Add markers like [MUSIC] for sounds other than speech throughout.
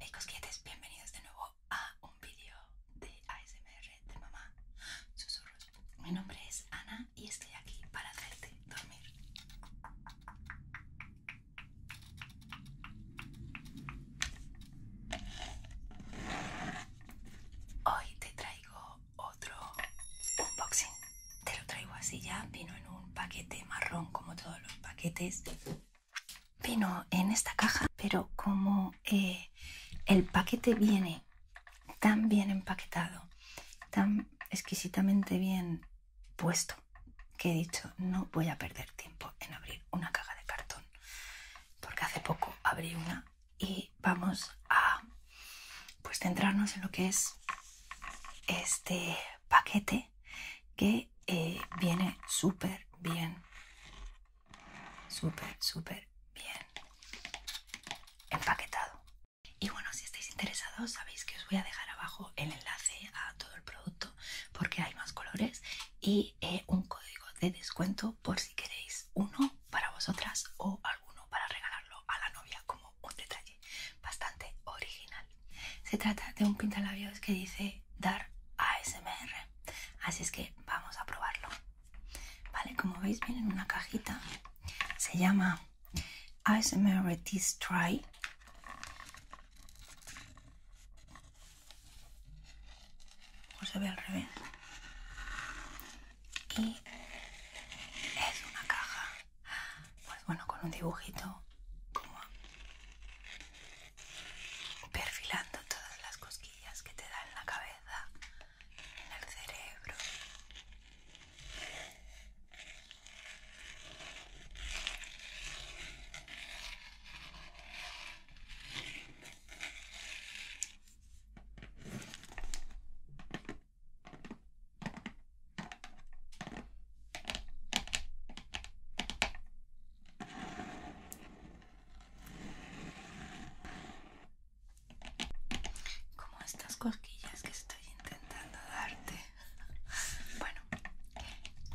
Hey cosquilletes, bienvenidos de nuevo a un vídeo de ASMR de Mamá Susurros. Mi nombre es Ana y estoy aquí para hacerte dormir. Hoy te traigo otro unboxing. Te lo traigo así ya, vino en un paquete marrón como todos los paquetes vino en esta caja pero como eh, el paquete viene tan bien empaquetado tan exquisitamente bien puesto que he dicho no voy a perder tiempo en abrir una caja de cartón porque hace poco abrí una y vamos a pues centrarnos en lo que es este paquete que eh, viene súper bien. Súper, súper bien empaquetado. Y bueno, si estáis interesados, sabéis que os voy a dejar abajo el enlace a todo el producto porque hay más colores y eh, un código de descuento por si queréis uno para vosotras o alguno para regalarlo a la novia como un detalle bastante original. Se trata de un pintalabios que dice Dar ASMR. Así es que vamos a probarlo. Vale, como veis viene en una cajita. Se llama ASMR Tease Try. O se ve al revés. Y es una caja pues bueno, con un dibujito perfilando todas las cosquillas que te dan en la cabeza, en el cerebro. Como estas cosquillas que estoy intentando darte. [LAUGHS] Bueno,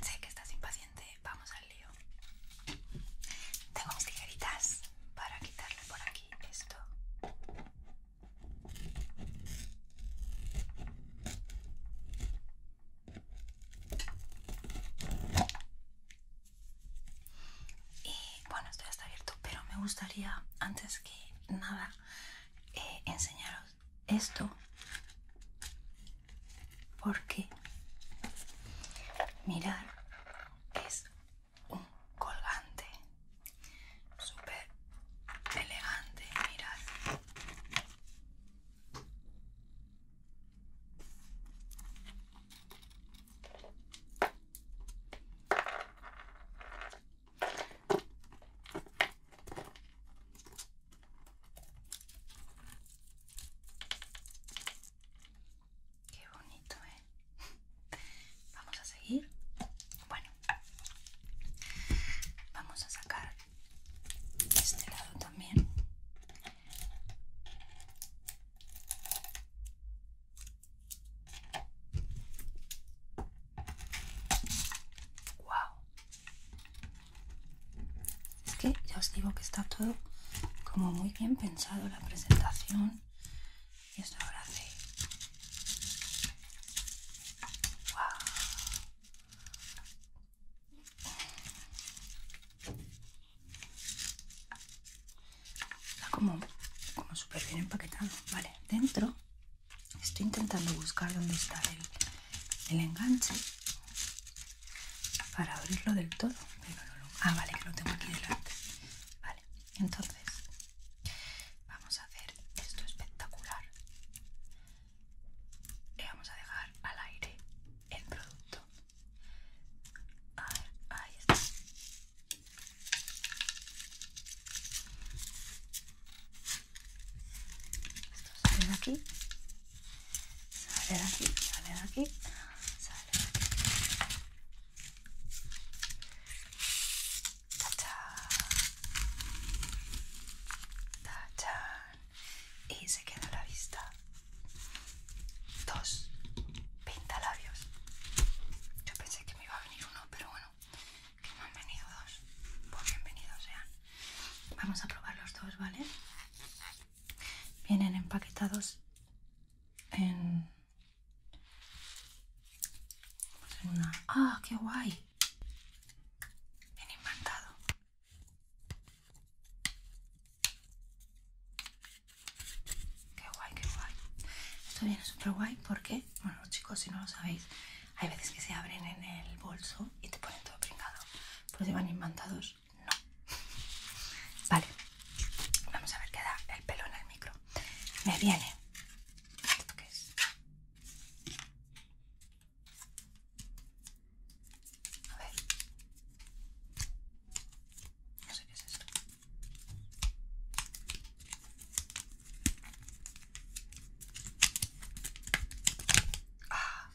sé que estás impaciente, vamos al lío. Tengo unas tijeritas para quitarle por aquí esto. Y bueno, esto ya está abierto, pero me gustaría, antes que nada, eh, enseñaros esto. Porque, mirar, es un colgante súper elegante, mirad. Qué bonito, ¿eh? [LAUGHS] Vamos a seguir. Bueno, Vamos a sacar este lado también. Wow. Es que ya os digo que está todo como muy bien pensado la presentación. Y esto ahora hace Está como, como súper bien empaquetado. Vale, dentro estoy intentando buscar dónde está el, enganche para abrirlo del todo. ah, vale, que lo tengo aquí delante. Vale, entonces Vamos a hacer esto espectacular. y vamos a dejar al aire el producto. A ver, ahí está. Esto sale de aquí, sale de aquí, sale de aquí, sale de aquí. Y se queda la vista. Dos. Pintalabios. Yo pensé que me iba a venir uno, pero bueno, que me han venido dos. Pues bienvenidos sean. Vamos a probar los dos, ¿vale? Vienen empaquetados en una... ¡Ah, qué guay! Bien inventado. ¡Qué guay, qué guay! Esto viene súper guay porque, bueno, chicos, si no lo sabéis, hay veces que se abren en el bolso y te ponen todo pringado. Pues si van imantados. No. [LAUGHS] Vale. Vamos a ver qué da el pelo en el micro. Me viene. ¿Esto qué es? A ver. No sé qué es esto. Ah,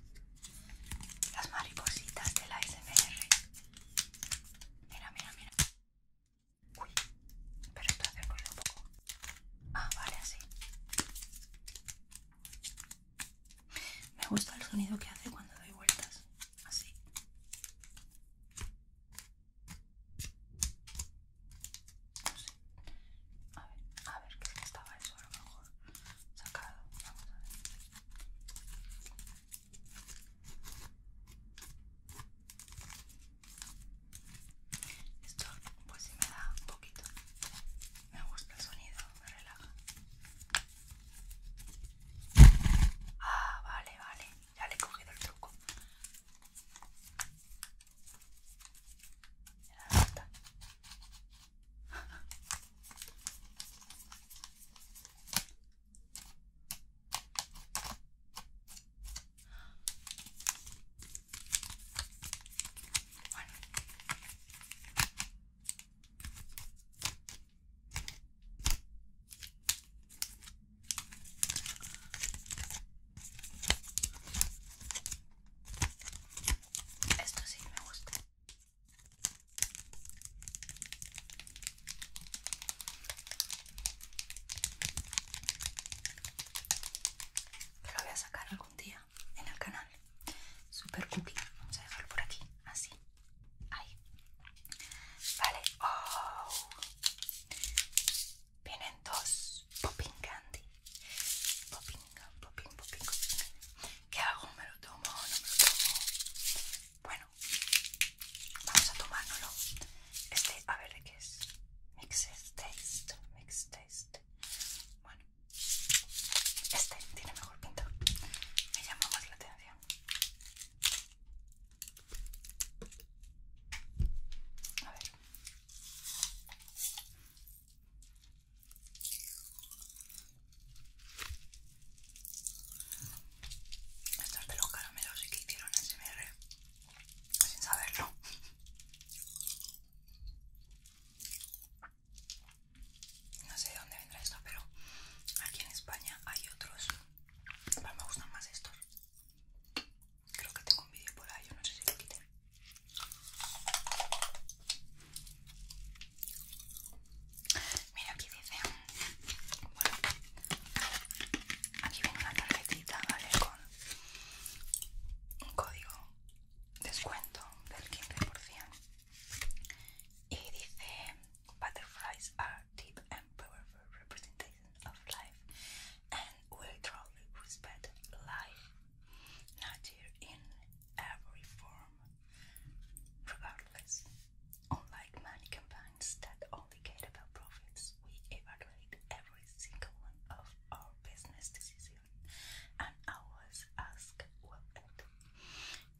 las maripositas de la ASMR. Mira, mira, mira. Uy, pero esto hace ruido un poco. Ah, vale, así. Me gusta el sonido que hace cuando doy vueltas. Así. No sé. A ver, a ver, qué es que estaba eso a lo mejor sacado. Vamos a ver. Esto pues si me da un poquito. Me gusta el sonido, me relaja. Ah, vale, vale. Ya le he cogido el truco. Me da esto sí me gusta. Lo voy a sacar algún día en el canal. Super cookie. Vamos a dejarlo por aquí. Así. Ahí. Vale. Oh. Vienen dos popping candy. Popping, popping, popping, popping. ¿Qué hago? ¿Me lo tomo? ¿No me lo tomo? Bueno, vamos a tomárnoslo. Este, a ver de qué es. Mixed taste, mix taste. Bueno, este tiene mejor pinta. Me llama más la atención. A ver. Estos de los caramelos sí que hicieron SMR sin saberlo. No sé de dónde vendrá esto, pero aquí en España hay otros. mí me gustan más estos. Creo que tengo un vídeo por ahí, yo no sé si lo quité. Mira, aquí dice. Bueno, aquí viene una tarjetita, Con un código descuento del 15%. Y dice: Butterflies are deep and powerful representations of life and we truly respect life, nature in every form. Regardless, unlike many companions. signs that all indicate about profits. We evaluate every single one of our business decisions and always ask what it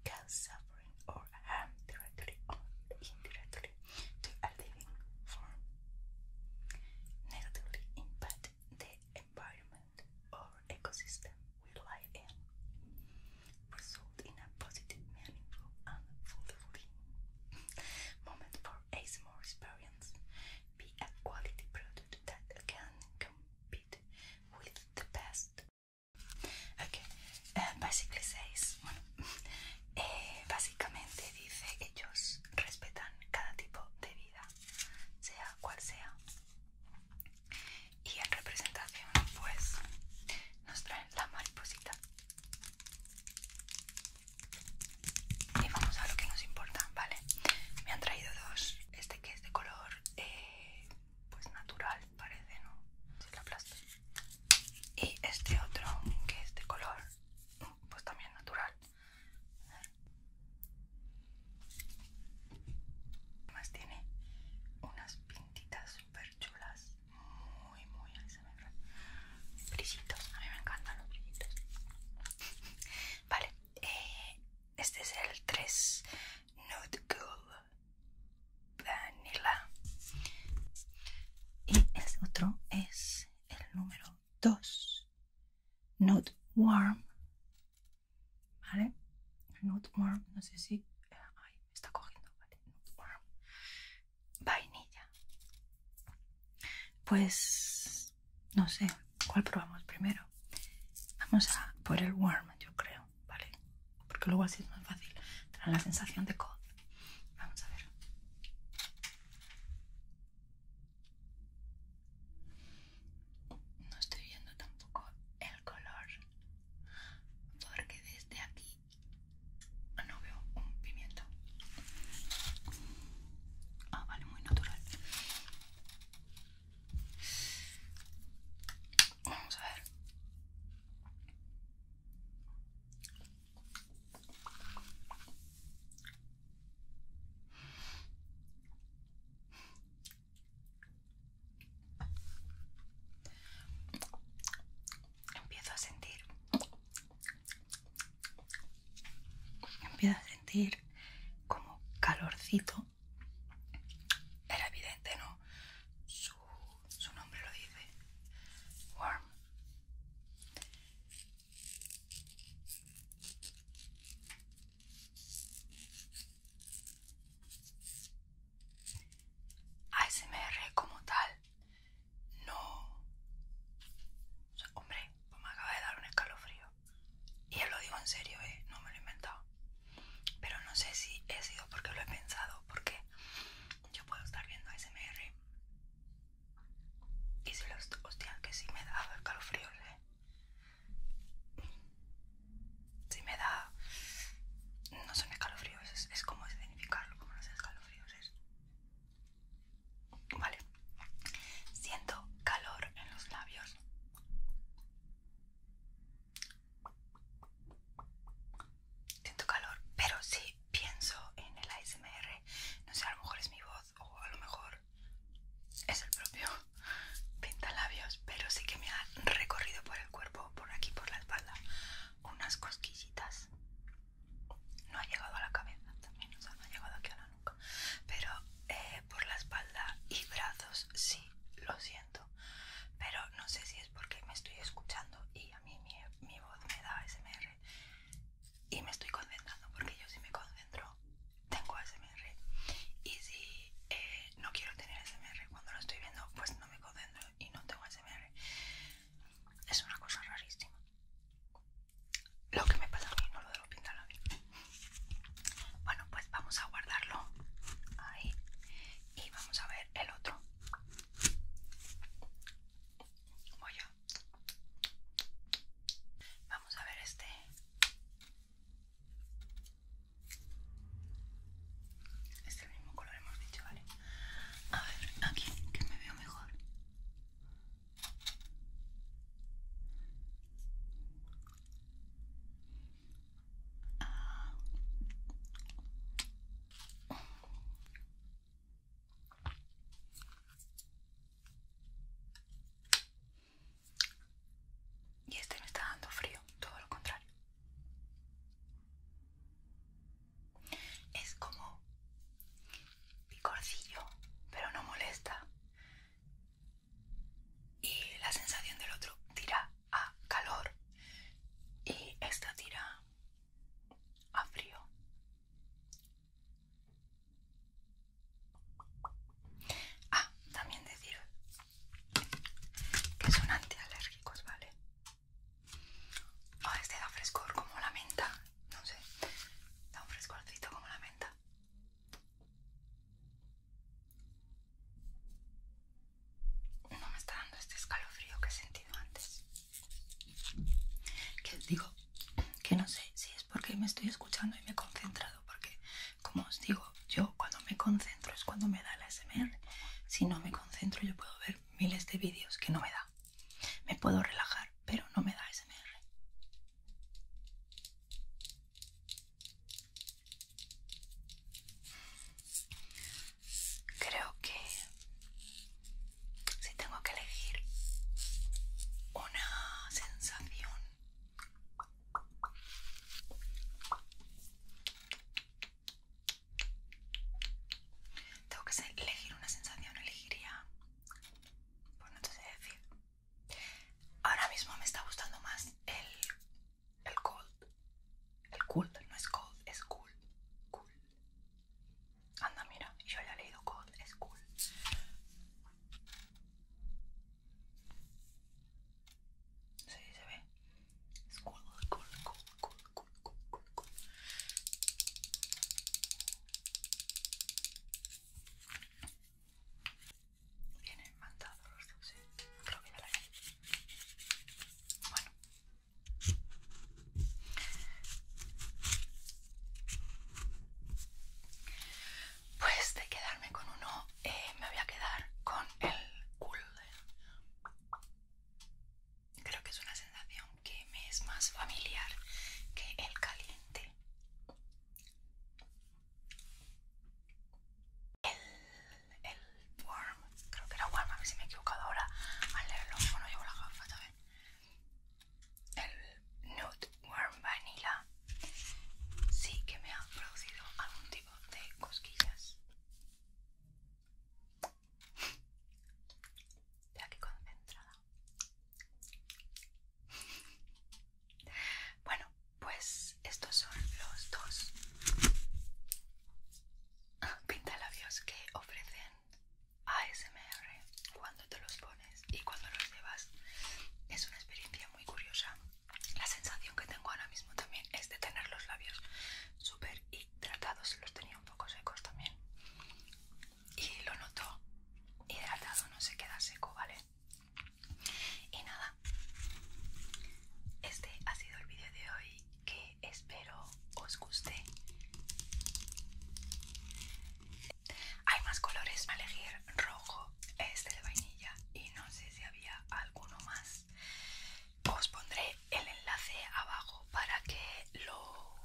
cause suffering or harm directly or indirectly to a living form. Negatively impact the environment or ecosystem we live in. result pues in a positive, meaningful, and fulfilling moment for more experience. Be a quality product that can compete with the best. Okay, eh, basically says, eh, básicamente dice ellos respetan cada tipo de vida, sea cual sea. Y en representación, pues, nos traen la mariposita y vamos a lo que nos importa, ¿vale? Me han traído dos. Este que es de color, eh, pues natural, parece, ¿no? Si la aplasto. Y este otro que es de color, pues también natural. Además tiene unas pintitas súper chulas, muy, muy ASMR. Brillitos, a mí me encantan los brillitos. [LAUGHS] vale, eh, este es el 3 Nude Cool Vanilla. Y este otro es el número 2 Nude Warm. ¿Vale? Nude Warm, no sé si. Eh, está cogiendo, vale. Vainilla. Pues no sé, ¿cuál probamos primero? Vamos a poner el warm, yo creo, ¿vale? Porque luego así es más fácil. Trae la sensación de cold. Vamos a ver. No estoy viendo tampoco el color porque desde aquí no veo un pimiento. Ah, vale, muy natural. Vamos a ver. Empiezo a sentir. Empiezo a sentir como calorcito. Era evidente, ¿no? Su, su nombre lo dice. Warm. ASMR como tal, no. hombre, pues me acaba de dar un escalofrío. Y os lo digo en serio, eh, no me lo he inventado. Pero no sé si he sido porque lo he pensado, porque yo puedo estar viendo ASMR. Y si los hostia, que sí me da escalofríos, escalofrío eh si me da... no son escalofríos, es, es como identificarlo, como no son escalofríos Vale, siento calor en los labios. Siento calor, pero si pienso en el ASMR, no sé, a lo mejor es mi voz o a lo mejor es el propio pintalabios, pero sí que me ha recorrido por el cuerpo, por aquí, por la espalda, unas cosquillitas. No ha llegado a la cabeza también, o sea, no ha llegado aquí a la nuca, pero eh, por la espalda y brazos sí lo siento, pero no sé si es porque me estoy escuchando y a mí mi, mi voz me da ASMR y me estoy concentrando porque yo si me concentro tengo ASMR y si eh, no quiero tener SMR cuando lo estoy viendo pues no me concentro y no tengo SMR. es una cosa rarísima lo que me pasa a mí no lo debo pintar a mí bueno pues vamos a guardarlo ahí y vamos a ver el otro voy a vamos a ver este es el mismo color, hemos dicho, ¿vale? A ver, aquí, que me veo mejor. Y este me está dando frío, todo lo contrario. Es como picorcillo, pero no molesta. Y la sensación del otro tira a calor y esta tira a frío. Ah, también decir que son antialérgicos, ¿vale? A ah, este da frescor como la menta, no sé, da un frescorcito como la menta. No me está dando este escalofrío que he sentido antes. Que digo que no sé si es porque me estoy escuchando y me he concentrado, porque como os digo, yo cuando me concentro es cuando me da la SMR. Si no me concentro yo puedo ver miles de vídeos que no me da. Me puedo relajar, pero no me da SMR. Creo que si tengo que elegir una sensación tengo que elegir una sensación, elegiría. Pues no te sé decir. Ahora mismo me está gustando más el. el cold. El cold, no es cold, es cool. Cool. Anda, mira, yo ya he leído cold, es cool. Sí, se ve. Vienen la pues de quedarme con uno eh, me voy a quedar con el Golden creo que es una sensación que me es más familiar que el caliente el, warm creo que era warm a ver si me he equivocado ahora al leerlo cuando no llevo las gafas también el Nude Warm Vanilla sí que me ha producido algún tipo de cosquillas. Ya que concentrada. Bueno, pues estos son los dos pintalabios que ofrecen ASMR cuando te los pones y cuando los llevas es una experiencia muy curiosa. La sensación que tengo ahora mismo también es de tener los labios súper hidratados, los tenía un poco secos también y lo noto hidratado, no se queda seco, ¿vale? Y nada, este ha sido el vídeo de hoy que espero os guste. Hay más colores a elegir, rojo, este de vainilla y no sé si había alguno más. Os pondré el enlace abajo para que lo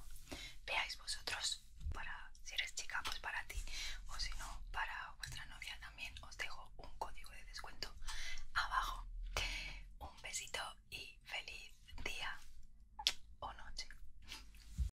veáis vosotros. Para si eres chica, pues para ti, o si no, para vuestra novia también. Os dejo un código de descuento abajo. Un besito y feliz día o noche.